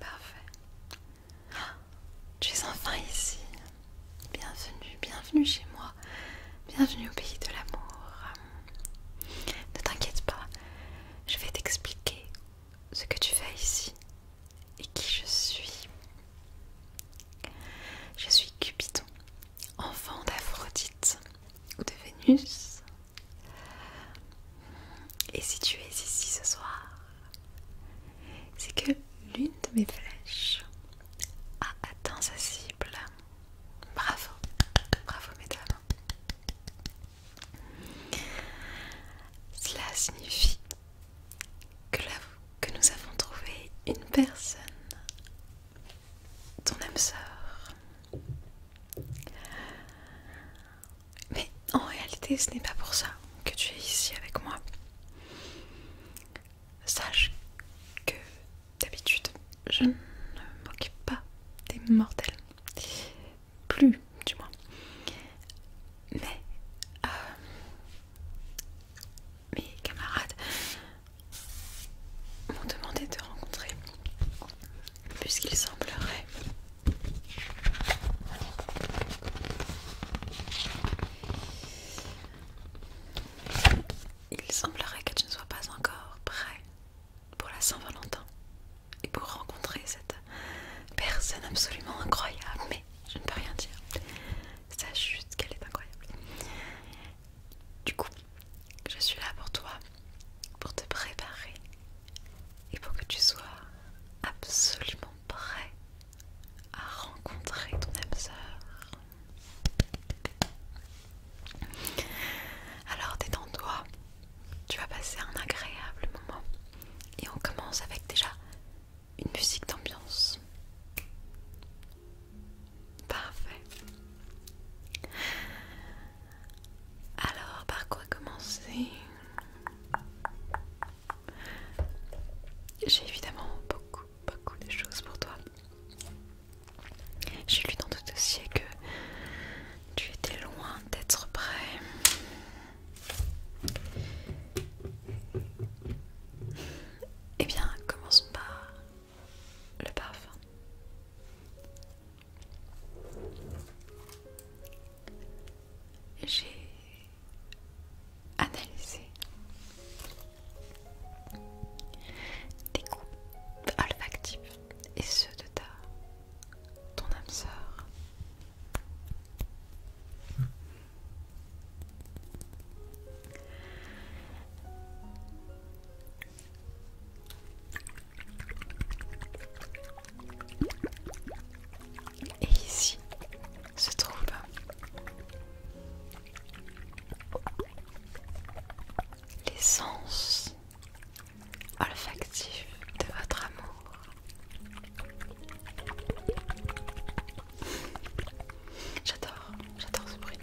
parfait. Ah, tu es enfin ici. Bienvenue, bienvenue chez moi. Bienvenue au pays de l'amour. Ne t'inquiète pas, je vais t'expliquer ce que tu fais ici et qui je suis. Je suis Cupidon, enfant d'Aphrodite ou de Vénus. Et si tu es ici ce soir, c'est que l'une de mes flèches a atteint sa cible. Bravo, bravo mesdames. Cela signifie que, que nous avons trouvé une personne ton âme sœur. Mais en réalité, ce n'est pas pour ça que tu es ici avec moi. Sache que d'habitude, je ne m'occupe pas des mortels. Plus, du moins. Mais euh, mes camarades m'ont demandé de rencontrer puisqu'il semblerait il semblerait que tu ne sois pas encore prêt pour la Saint-Valentin et pour rencontrer cette personne absolument incroyable mais je ne peux rien dire sache juste qu'elle est incroyable du coup, je suis là pour toi, pour te préparer et pour que tu sois absolument prêt à rencontrer ton âme sœur. Alors détends-toi, tu vas passer un agréable moment et on commence avec déjà une musique d'ambiance. Parfait. Alors, par quoi commencer J'ai évidemment beaucoup, beaucoup de choses pour toi. J'ai lu dans ton dossier que tu étais loin d'être prêt. Eh bien, commence par le parfum. J'ai analysé des groupes olfactifs et ceux de ta ton âme sœur. Hmm. Et ici se trouve l'essence olfactive de votre amour. J'adore, j'adore ce bruit.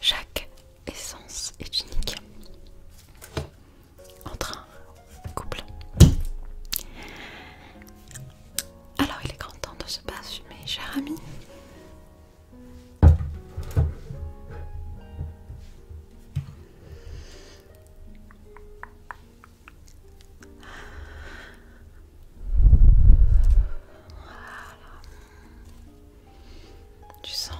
Chaque essence est unique. train, un couple. Alors il est grand temps de se Mes cher ami. Tu sens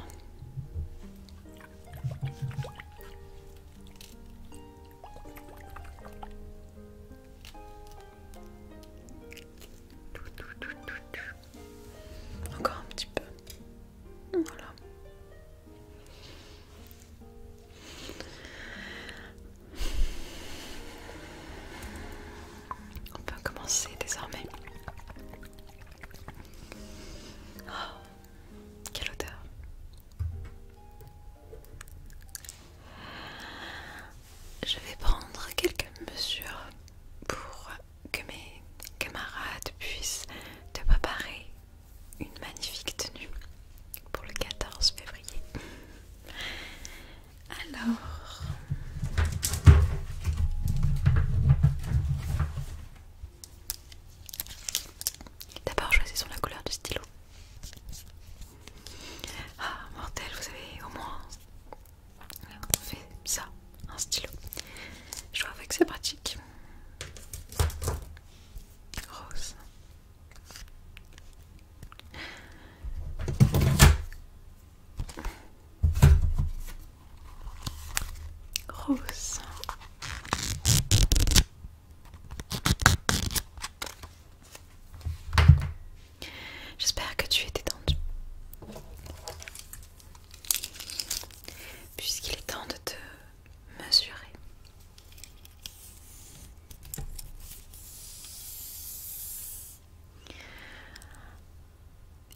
encore un petit peu on peut commencer désormais. Oh, quelle odeur! Je vais prendre quelques mesures pour que mes camarades puissent te préparer une magnifique tenue pour le 14 février. Alors, d'abord choisissons la couleur du stylo. Ah, mortel, vous avez au moins fait ça, un stylo. Je vois que c'est pratique. Rose. Rose. J'espère que tu es détendu. Puisqu'il est temps de te mesurer.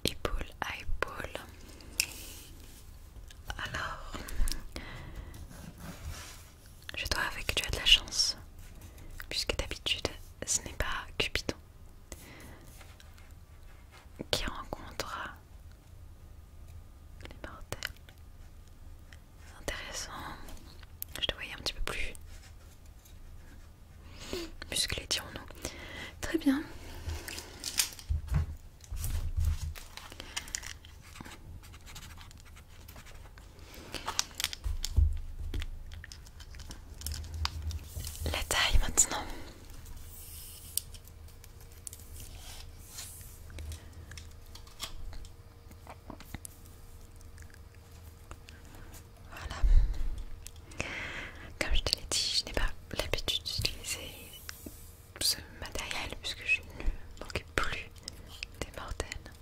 Épaule à épaule. Alors, je dois avouer que tu as de la chance, puisque d'habitude, ce n'est pas Cupidon qui rencontrera les mortels. Intéressant. Je te voyais un petit peu plus musclé, disons nous Très bien. La taille maintenant. Voilà. Comme je te l'ai dit, je n'ai pas l'habitude d'utiliser ce matériel puisque je ne m'occupe plus des mortels.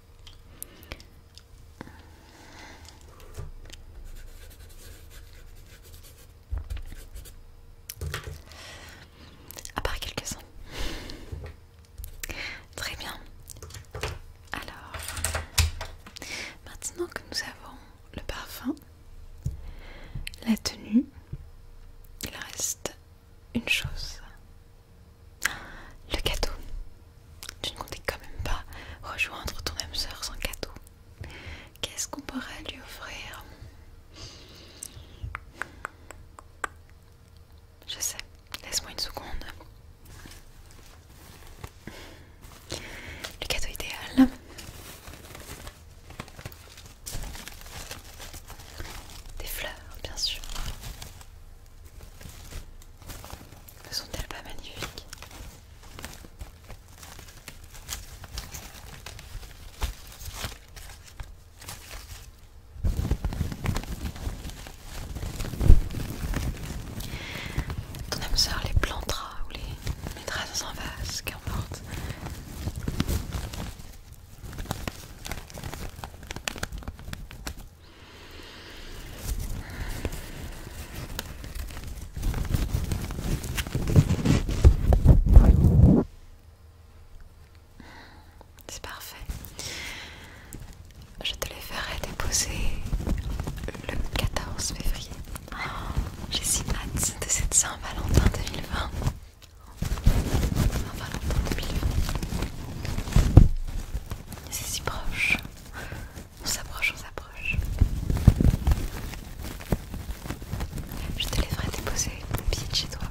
À part quelques-uns. Très bien. Alors, maintenant que nous avons le parfum, la tenue, il reste une chose. Le cadeau. Tu ne comptais quand même pas rejoindre ton âme sœur sans cadeau. Qu'est-ce qu'on pourrait lui offrir je sais, laisse-moi une seconde. Le cadeau idéal. Des fleurs, bien sûr. Ne sont-elles pas magnifiques ton âme sœur les plantera ou les mettra dans un vase, qu'importe. C'est parfait. Je te les ferai déposer le 14 février. J'ai si hâte de cette Saint-Valentin 2020. Saint-Valentin 2020. C'est si proche. On s'approche, on s'approche. Je te les ferai déposer pied de chez toi.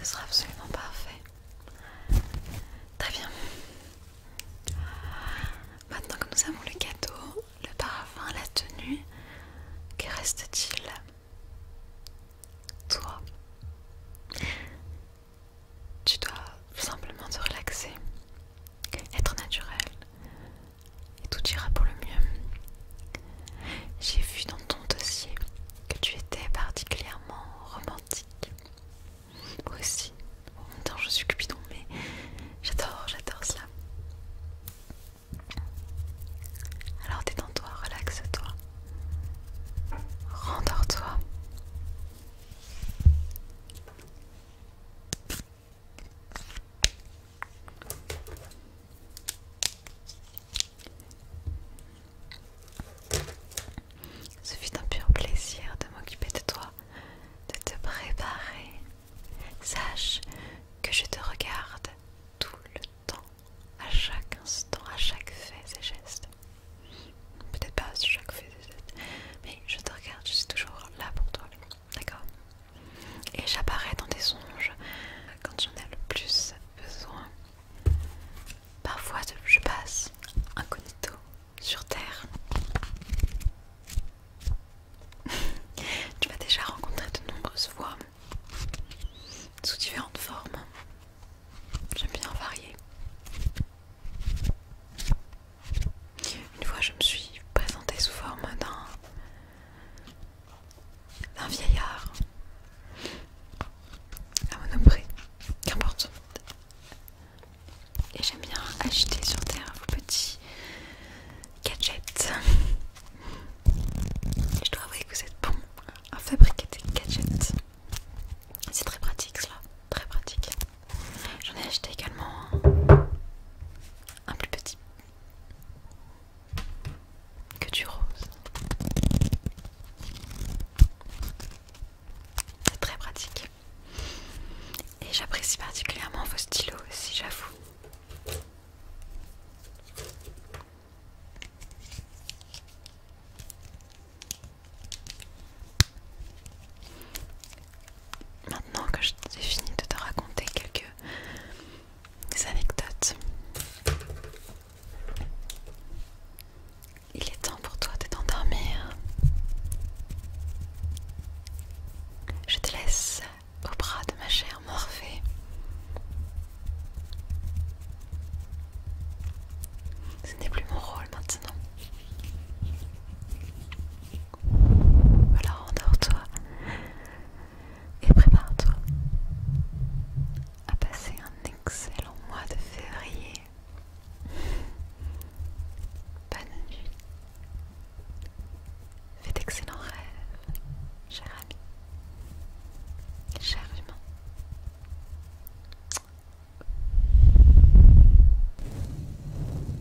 Ce sera absolument parfait. Très bien. Maintenant que nous avons le gâteau, le parfum, la tenue, que reste-t-il Toi. Tu dois simplement te relaxer, être naturel, et tout ira pour le mieux. J'ai vu dans ton dossier que tu étais particulièrement romantique. Moi aussi, je suis cupidon, mais j'adore, j'adore cela. Alors détends-toi, relaxe-toi, rendors-toi. Ce fut un pur plaisir de m'occuper de toi, de te préparer. Sache que je te regarde tout le temps, à chaque instant, à chaque fait et geste. Peut-être pas à chaque fait et geste, mais je te regarde, je suis toujours là pour toi d'accord Et j'apparais dans des songes quand j'en ai le plus besoin. Parfois, je passe incognito sur Terre. tu m'as déjà rencontré de nombreuses voix sous différentes formes. J'aime bien varier. Une fois, je me suis présentée sous forme d'un d'un vieillard à monoprix, qu'importe. Et j'aime bien acheter sur terre vos petits gadgets. je dois avouer que vous êtes bon à fabriquer des gadgets. C'est très pratique cela, très pratique. J'en ai acheté également un plus petit que du rose. C'est très pratique. Et j'apprécie particulièrement vos stylos aussi, j'avoue. Maintenant que j'ai fini de te raconter quelques anecdotes, il est temps pour toi de t'endormir. Je te laisse au bras de ma chère Morphée. Ce n'est plus mon rôle maintenant. Alors endors-toi et prépare-toi à passer un excellent mois de février. Bonne nuit. Fais d'excellents rêves, cher ami, cher humain.